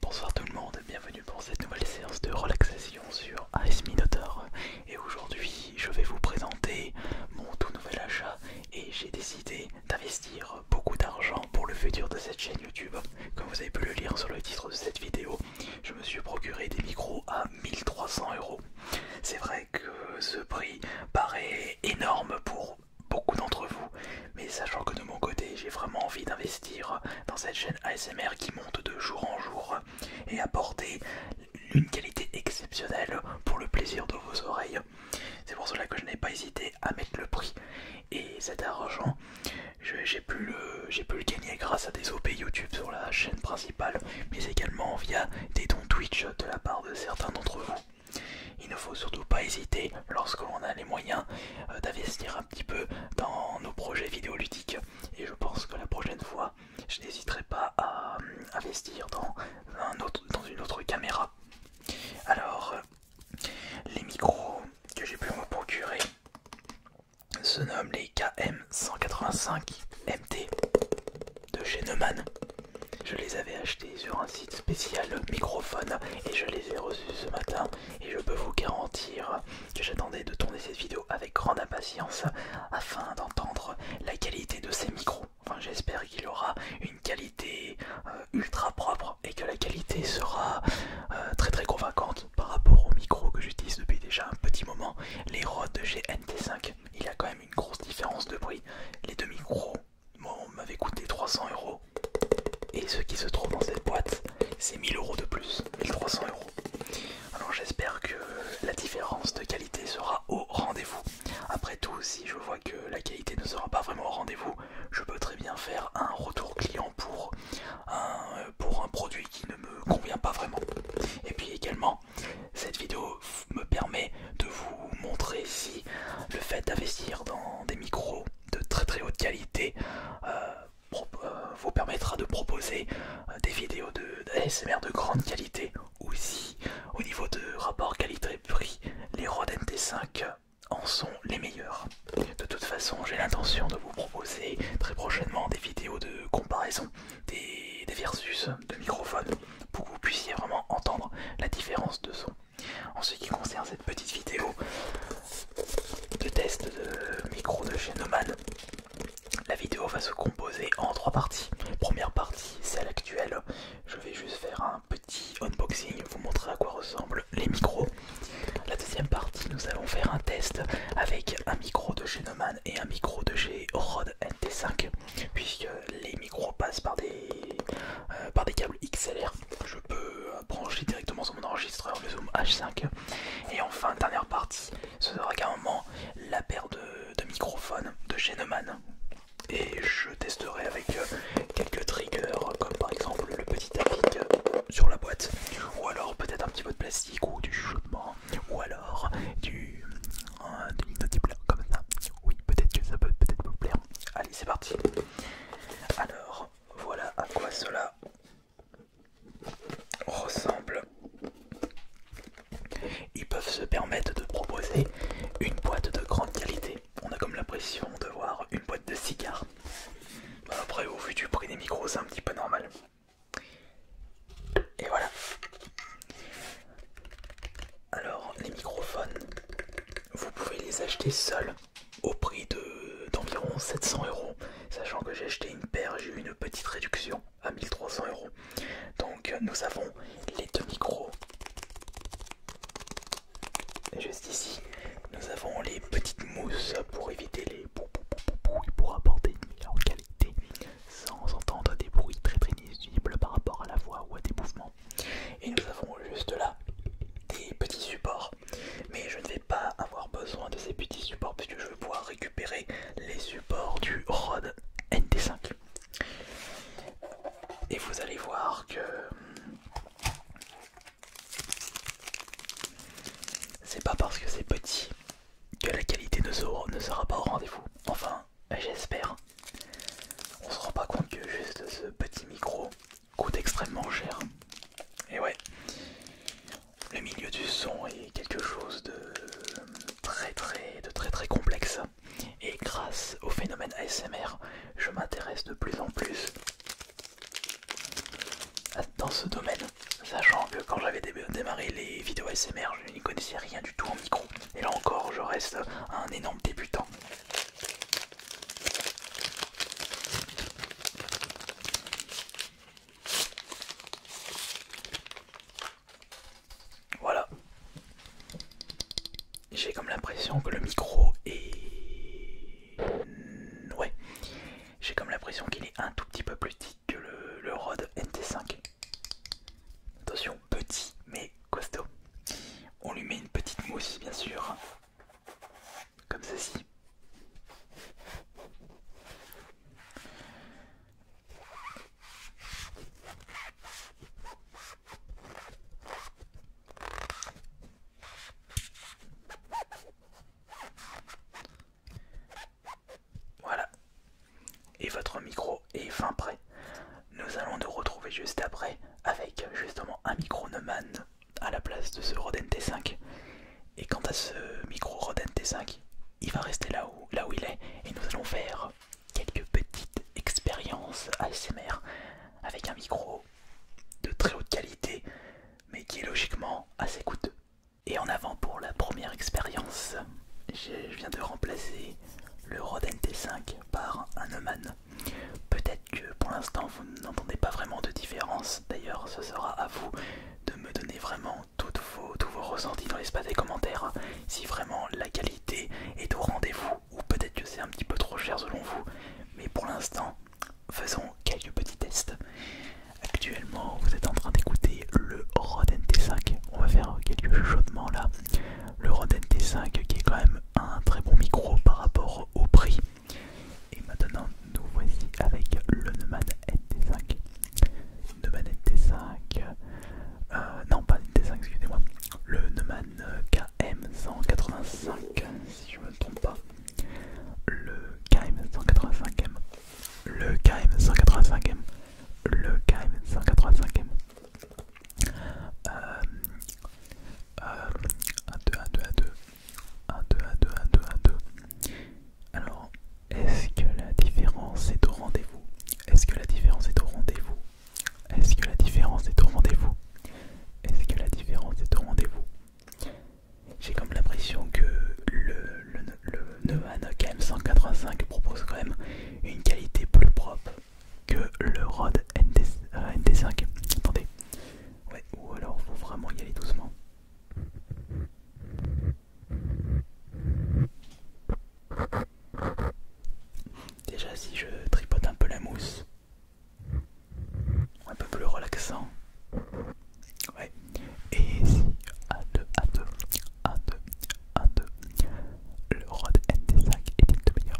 Bonsoir tout le monde, bienvenue pour cette nouvelle séance de relaxation sur Ice Minotaur. Et aujourd'hui, je vais vous présenter mon tout nouvel achat et j'ai décidé d'investir beaucoup d'argent pour le futur de cette chaîne YouTube. Comme vous avez pu le lire sur le titre de cette vidéo, je me suis procuré des micros à 1300 euros. C'est vrai que ce prix paraît énorme pour beaucoup d'entre vous, mais sachant que de mon côté j'ai vraiment envie d'investir dans cette chaîne ASMR qui monte de jour en jour et apporter une qualité exceptionnelle pour le plaisir de vos oreilles. C'est pour cela que je n'ai pas hésité à mettre le prix et cet argent j'ai pu, pu le gagner grâce à des OP YouTube sur la chaîne principale mais également via des dons Twitch de la part de certains d'entre vous. Il ne faut surtout pas hésiter lorsque l'on a les moyens euh, d'investir petit peu dans nos projets vidéoludiques et je pense que la prochaine fois je n'hésiterai pas à euh, investir dans, un autre, dans une autre caméra. Alors euh, les micros que j'ai pu me procurer se nomment les KM185 MT de chez Neumann. Je les avais achetés sur un site spécial microphone et je les ai reçus ce matin et je peux vous garantir que j'attendais de tourner cette vidéo avec grande impatience afin d'entendre la qualité de ces micros. Enfin j'espère qu'il aura une qualité euh, ultra propre et que la qualité sera euh, très très convaincante par rapport aux micros que j'utilise depuis déjà un petit moment, les Rode de 5 Il a quand même une grosse différence de bruit Les deux micros on m'avait coûté 300 euros. Et ce qui se trouve dans cette boîte, c'est 1000 euros de plus, 1300 euros. Alors j'espère que la différence de qualité sera au rendez-vous. Après tout, si je vois que la qualité ne sera pas vraiment au rendez-vous, je peux très bien faire un retour client pour un produit qui ne me convient pas vraiment. Et puis également, cette vidéo me permet de vous montrer si le fait d'investir dans des micros de très très haute qualité euh, euh, vous permettra de proposer euh, des vidéos d'ASMR de, grande qualité aussi au niveau de rapport qualité-prix les Rode MT5 en sont les meilleurs de toute façon j'ai l'intention de vous proposer très prochainement des vidéos de comparaison des, versus de microphones pour que vous puissiez vraiment entendre la différence de son en ce qui concerne cette petite vidéo de test de micro de chez la vidéo va se composer en trois parties. Première partie, celle actuelle. Je vais juste faire un petit unboxing, vous montrer à quoi ressemblent les micros. La deuxième partie, nous allons faire un test avec un micro de chez et un micro de chez Rode NT5, puisque les micros passent par des, euh, par des câbles XLR je peux euh, brancher directement sur mon enregistreur le Zoom H5. Et enfin, dernière partie, ce sera moment la paire de, microphones de chez Et je testerai avec euh, quelques triggers, comme par exemple le petit tapis euh, sur la boîte, ou alors peut-être un petit peu de plastique ou du chuchotement, ou alors du, un du, comme ça. Oui, peut-être que ça peut peut-être vous plaire. Allez, c'est parti. Alors, voilà à quoi cela ressemble. Ils peuvent se permettre de proposer une boîte de grande qualité. On a comme l'impression de voir une boîte de cigares. Bah, après, au vu du prix des micros, c'est un petit peu normal. Et voilà. Alors, les microphones, vous pouvez les acheter seuls au prix d'environ 700 euros. Sachant que j'ai acheté une paire, j'ai eu une petite réduction à 1300 euros. Donc, euh, nous avons les deux micros. Juste ici, nous avons les petites mousses pour éviter les pour apporter une meilleure qualité sans entendre des bruits très très par rapport à la voix ou à des mouvements et nous avons juste là des petits supports. Mais je ne vais pas avoir besoin de ces petits supports puisque je vais pouvoir récupérer les supports du Rode NT5. Et vous allez voir que c'est pas parce que c'est petit que la qualité ne sera, ne sera pas au rendez-vous. Enfin, j'espère. On se rend pas compte que juste ce petit micro coûte extrêmement cher. Et ouais, le milieu du son est quelque chose de très très très très complexe. Et grâce au phénomène ASMR, je m'intéresse de plus en plus dans ce domaine, sachant que quand j'avais démarré les vidéos ASMR, je n'y connaissais rien du tout en micro. Et là encore, je reste un énorme débutant. Voilà. J'ai comme l'impression que le micro est... Ouais. J'ai comme l'impression qu'il est un tout petit peu plus petit que le, Rode NT5. Attention, petit mais costaud. On lui met une petite mousse, bien sûr, comme ceci. Voilà, et votre micro est fin prêt. Nous allons nous retrouver juste après avec justement un micro Neumann à la place de ce Roden T5. Et quant à ce micro Roden T5, il va rester là où, là où il est et nous allons faire quelques petites expériences ASMR avec un micro de très haute qualité mais qui est logiquement assez coûteux. Et en avant pour la première expérience je viens de remplacer le Rodent nt 5 par un Neumann. Peut-être que pour l'instant vous n'entendez pas vraiment de différence, d'ailleurs ce sera à vous de me donner vraiment tous vos ressentis dans l'espace des commentaires, hein. si vraiment la qualité est au rendez-vous, ou peut-être que c'est un petit peu trop cher selon vous, mais pour l'instant faisons quelques petits tests. Actuellement vous êtes en train d'écouter le Rodent nt 5 on va faire quelques chuchotements là le Rode nt 5 qui est quand même un très bon micro par rapport au prix. Et maintenant nous voici avec le Neumann NT5. Neumann NT5, euh, non pas NT5 excusez-moi, le Neumann KM185 si je me trompe pas. Le KM185M. Le KM185M le KM 185e. Euh, euh, 1, 2, 1, 2, 1, 2, 1, 2, 1, 2, 1, 2, 1, 2. Alors, est-ce que la différence est au rendez-vous Est-ce que la différence est au rendez-vous Est-ce que la différence est au rendez-vous Est-ce que la différence est au rendez-vous J'ai comme l'impression que le le Neumann KM185 propose quand même une qualité plus propre que le Rode nt 5 Attendez, ou alors faut vraiment y aller doucement. Déjà, si je tripote un peu la mousse, un peu plus relaxant, ouais, et si 1, 2, 1, 2, 1, 2, 1, 2. Le Rod MT5 est dit de meilleur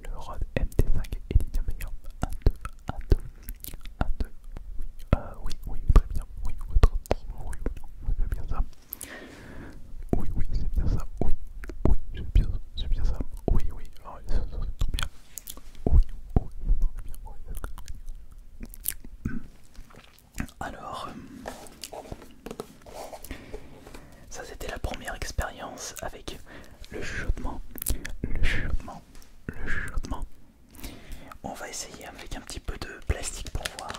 Le Rod MT5 est dit de meilleur 1, 2, 1, 2, 1, 2. Oui, oui, très bien. Oui, votre oui, oui, c'est bien ça. Oui, oui, c'est bien ça. Oui, oui, c'est bien, ça. Oui, oui, ah, c'est trop bien. Oui, oui, c'est bien. Oui, alors, euh, ça c'était la première expérience avec le chuchotement. Le chuchotement. Le chuchotement. On va essayer avec un petit peu de plastique pour voir.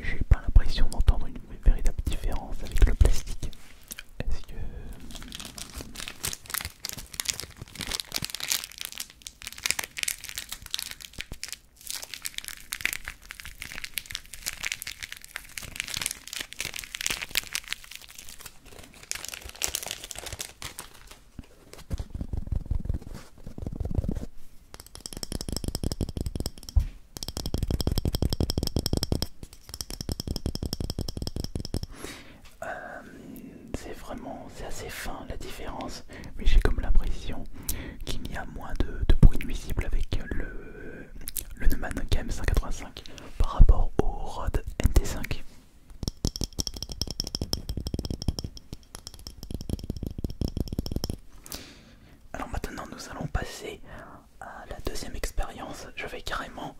J'ai pas l'impression d'entendre une véritable différence avec le plastique. Est-ce que... Euh, c'est vraiment, c'est assez fin la différence, mais j'ai comme l'impression qu'il y a moins de, bruit nuisible avec le, le Neumann KM185 par rapport au Rode NT5. Alors maintenant nous allons passer à la deuxième expérience, je vais carrément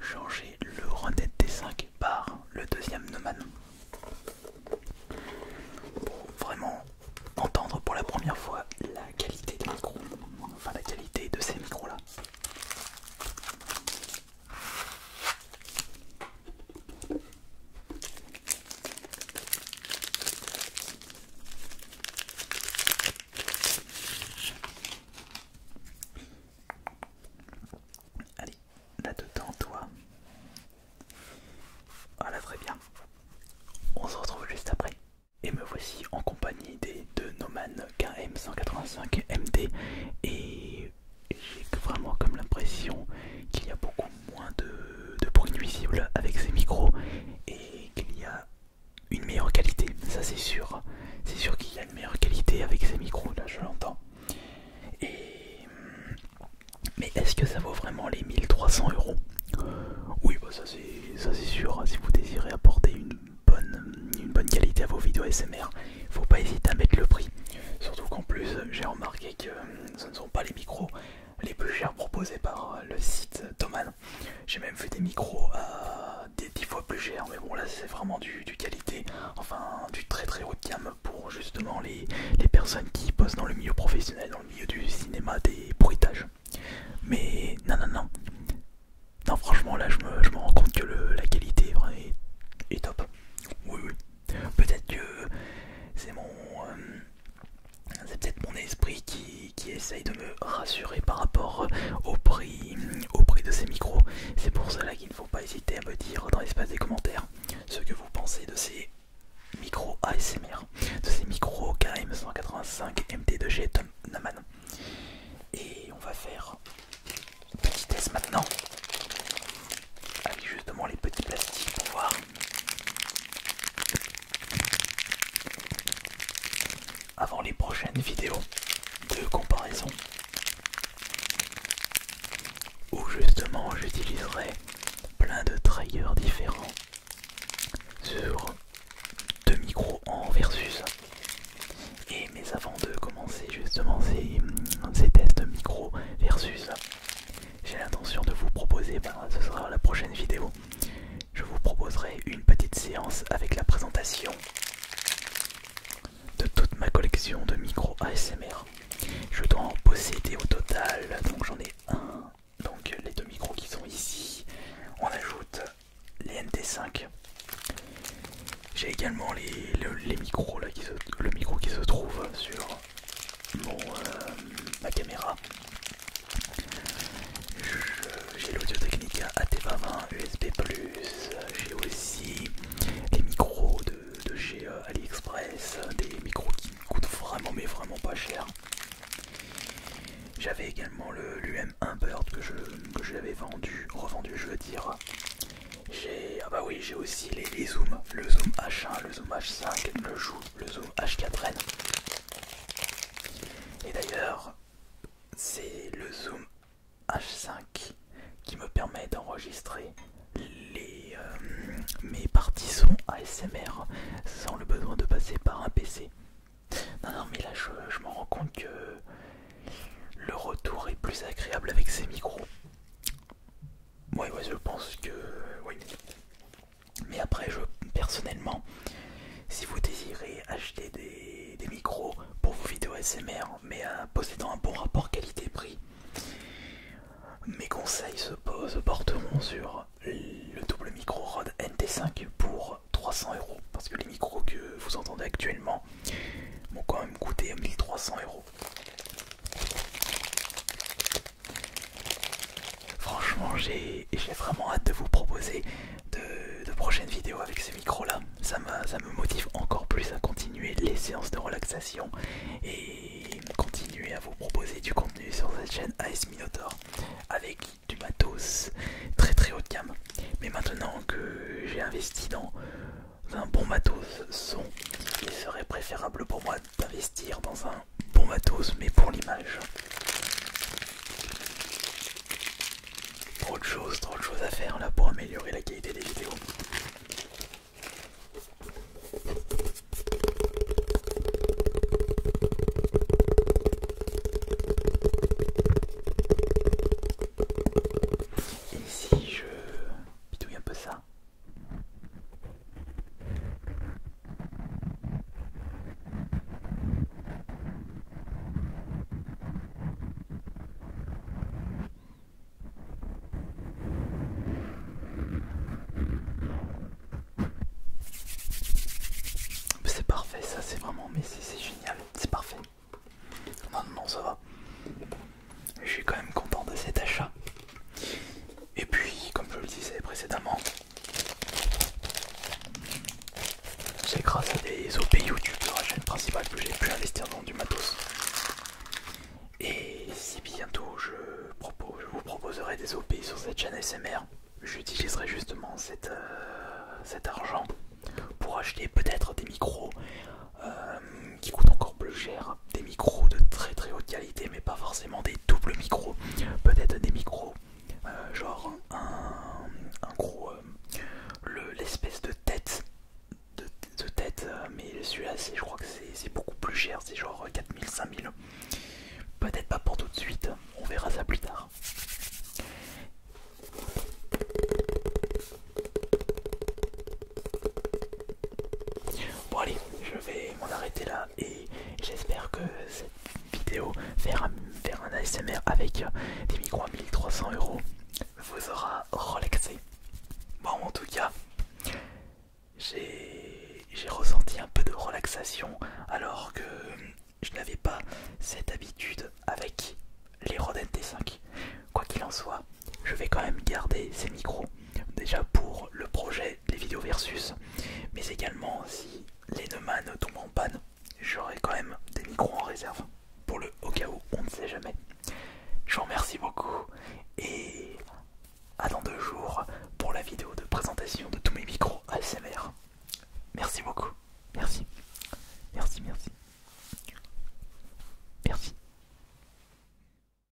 changer le Renet D5 par le deuxième Neumann. Pour vraiment entendre pour la première fois la qualité des micros, enfin la qualité de ces micros-là. Allez, là-dedans, toi. Voilà, ah, très bien. On se retrouve juste après. Et me voici en compagnie des deux Noman KM185 MD. Et j'ai vraiment comme l'impression qu'il y a beaucoup moins de, de bruit nuisible avec ces micros et qu'il y a une meilleure qualité, ça c'est sûr. C'est sûr qu'il y a une meilleure qualité avec ces micros, là je l'entends. Mais est-ce que ça vaut vraiment les 1300 euros Oui, bah, ça c'est sûr. Hein. Si vous désirez apporter une bonne, bonne qualité à vos vidéos SMR, faut pas hésiter à mettre le prix. Surtout qu'en plus, j'ai remarqué que euh, ce ne sont pas les micros les plus chers proposés par euh, le site Thomas j'ai même fait des micros à euh, des 10 fois plus chers, mais bon là c'est vraiment du, qualité, enfin du très très haut de gamme pour justement les, personnes qui bossent dans le milieu professionnel, dans le milieu du cinéma, des bruitages. Mais non non non. Non franchement là je me, rends compte que la qualité est, top. Oui oui. Peut-être que c'est mon... Euh, peut-être mon esprit qui qui, essaye de me rassurer par rapport euh, au prix, euh, au prix de ces micros. C'est pour cela qu'il ne faut pas hésiter à me dire dans l'espace des commentaires ce que vous pensez de ces micros ASMR, de ces micros KM185 MT2G Tom Naman. Et on va faire une petite test maintenant avec justement les petits plastiques pour voir avant les prochaines vidéos de comparaison où justement j'utiliserai plein de triggers différents sur deux micros en versus et mais avant de commencer justement ces, tests tests micro versus j'ai l'intention de vous proposer, ben, ce sera la prochaine vidéo, je vous proposerai une petite séance avec la présentation de toute ma collection de micros ASMR. Je dois en posséder au total, donc j'en ai un, donc les deux micros qui sont ici, on ajoute les NT5. J'ai également les, micros le micro qui se trouve sur euh, ma caméra j'ai l'Audio Technica AT20 USB, j'ai aussi des micros de, chez euh, AliExpress, des micros qui coûtent vraiment, mais vraiment pas cher. J'avais également l'UM1 Bird que je, l'avais vendu, revendu, je veux dire. J'ai ah bah oui, j'ai aussi les, les zooms, le zoom H1, le zoom H5, le zoom H4N. Et d'ailleurs, c'est le zoom H5 qui me permet d'enregistrer euh, mes parties son ASMR sans le besoin de passer par un PC. Non, non, mais là je, me rends compte que le retour est plus agréable avec ces micros. Ouais, ouais, je pense que. Mais après, je, personnellement, si vous désirez acheter des, micros pour vos vidéos SMR, mais à, euh, possédant un bon rapport qualité-prix, mes conseils se, posent, porteront sur le double micro Rode NT5 pour 300 euros. Parce que les micros que vous entendez actuellement m'ont quand même coûté 1300 euros. Franchement, j'ai vraiment hâte de vous proposer de, prochaines vidéos avec ce micro là Ça, ça me motive encore plus à continuer les séances de relaxation et continuer à vous proposer du contenu sur cette chaîne AS Minotaur avec du matos très très haut de gamme. Mais maintenant que j'ai investi dans un bon matos son, il serait préférable pour moi d'investir dans un bon bon matos, mais pour l'image. Trop de choses, trop de choses à faire là pour améliorer la qualité des vidéos. Et si je bidouille un peu ça c'est parfait, ça c'est vraiment, mais c'est génial, c'est parfait. Non, non, ça va. Je suis quand même content de cet achat. Et puis, comme je le disais précédemment, c'est grâce à des OP YouTube de la chaîne principale que j'ai pu investir dans du matos. Et si bientôt je, vous proposerai des OP sur cette chaîne SMR, j'utiliserai justement euh, cet argent pour acheter peut-être des micros euh, qui coûtent encore plus cher des micros de très très haute qualité, mais pas forcément des doubles micros, peut-être des micros euh, genre un, gros euh, l'espèce de tête de, tête, euh, mais celui-là je crois que c'est beaucoup plus cher, c'est genre 4000, 5000. Peut-être pas pour tout de suite, on verra ça plus tard. Bon allez, je vais m'en arrêter là et j'espère que cette vidéo, vers un, ASMR avec des micros à 1300 euros, vous aura relaxé. Bon en tout cas, j'ai ressenti un peu de relaxation alors que je n'avais pas cette habitude avec les Roden T5. Quoi qu'il en soit, je vais quand même garder ces micros déjà pour le projet des vidéos versus mais également si les deux tombent en panne j'aurai quand même des micros en réserve pour le au cas où on ne sait jamais je vous remercie beaucoup et à dans deux jours pour la vidéo de présentation de tous mes micros ASMR merci beaucoup merci merci merci merci